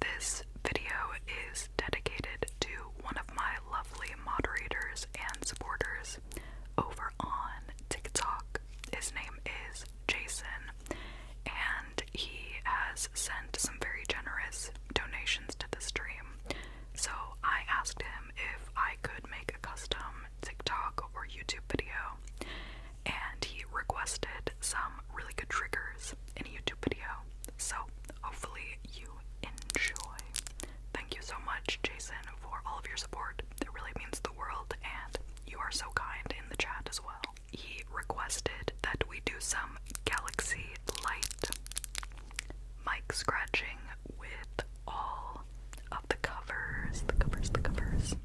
this video is dedicated to one of my lovely moderators and supporters over on TikTok. His name is Jason, and he has sent some very generous donations to the stream. So I asked him if I could make a custom TikTok or YouTube video, and he requested some really good triggers in a YouTube video. So hopefully you enjoy. Thank you so much, Jason, for all of your support. That really means the world, and you are so kind in the chat as well. He requested that we do some Galaxy Light mic scratching with all of the covers, the covers, the covers,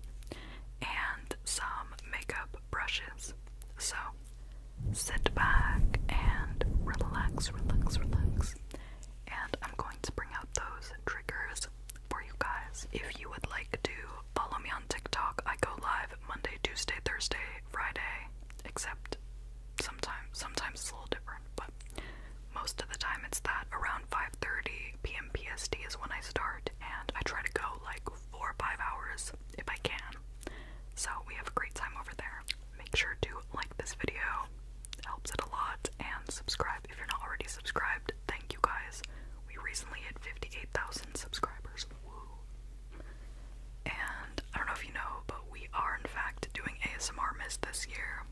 and some makeup brushes. So sit back and relax, relax, relax. And I'm going to bring out those triggers for you guys. If you would like to follow me on TikTok, I go live Monday, Tuesday, Thursday, Friday, except sometimes sometimes it's a little different, but most of the time it's that around 5:30 p.m. PST is when I start and I try to go like 4 or 5 hours if I can. So we have a great time over there. Make sure to like this video, it helps it a lot, and subscribe if you're not already subscribed. Thank you guys. We recently hit 58,000 subscribers. Woo! And I don't know if you know, but we are in fact doing ASMR Miss this year.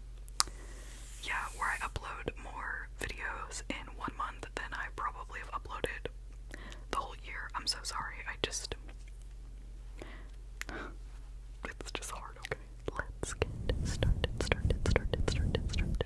Yeah, where I upload more videos in one month than I probably have uploaded the whole year. I'm so sorry. I just it's just hard, okay? Let's get started, started, started, started, started.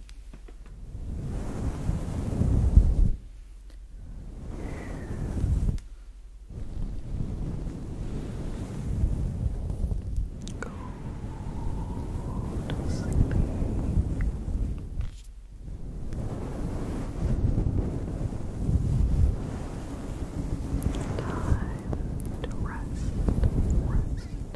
Go to sleep. Time to rest, rest,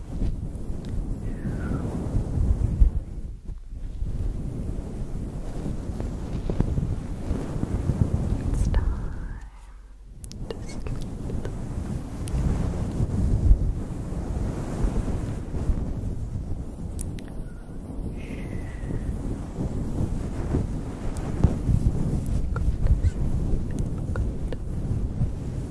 It's time to sleep. Good. Good.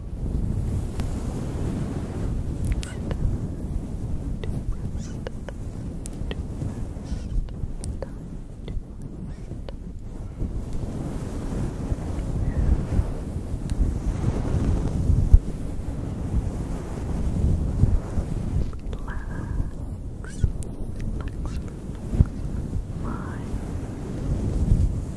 relax, relax, relax. Mind,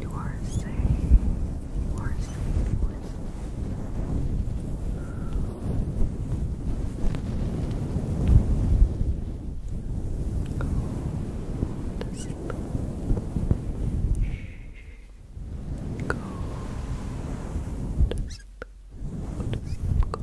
You are safe. You are safe. You are safe. Go to sleep. Go to sleep.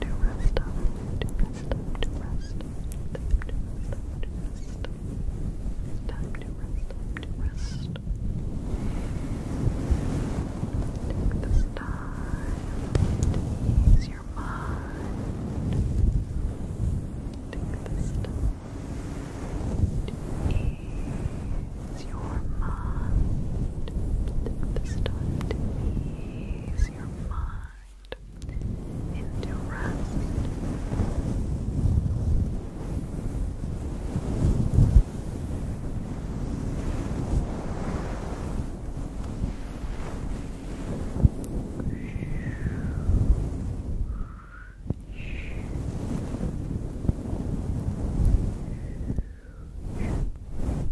to rest up, to rest up, to rest up, to rest up, to rest up. It's time to rest up, to rest. Take this time to ease your mind. Take this time to ease your mind. Take this time to ease your mind into rest. Shh. Shh.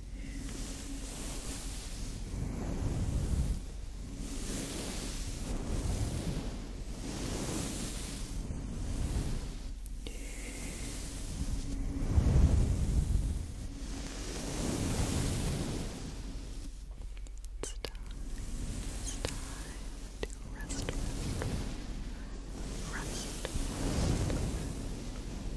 It's time, it's time to rest, rest, rest, rest, rest,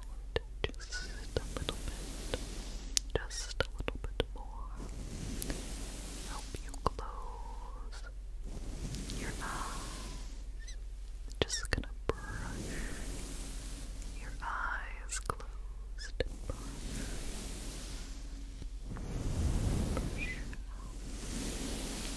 just a little bit, just a little bit more. Help you close your eyes. Just gonna brush your eyes closed brush. Brush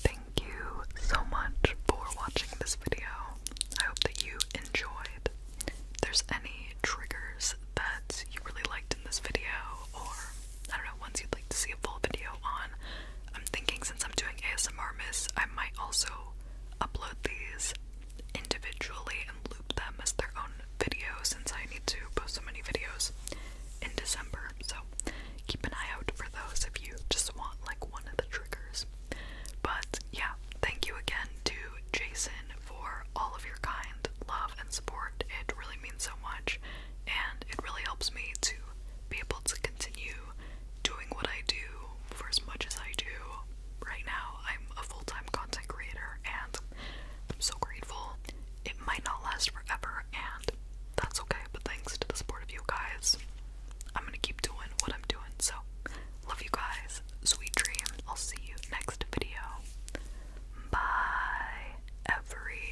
Thank you so much for watching this video. I hope that you enjoyed. there's any triggers that you really liked in this video, or I don't know, ones you'd like to see a full video on, I'm thinking since I'm doing ASMR Miss, I might also upload these individually and loop them as their own video since I need to post so many videos in December. So keep an eye out for those if you just want like one of the triggers. But yeah, thank you again to Jason for all of your kind love and support. It really means so much and it really helps me to be able to continue doing what I do for as much as I do. Right now, I'm a full time content creator and I'm so grateful. It might not last forever, and that's okay, but thanks to the support of you guys, I'm gonna keep doing what I'm doing. So, love you guys. Sweet dreams. I'll see you next video. Bye, every.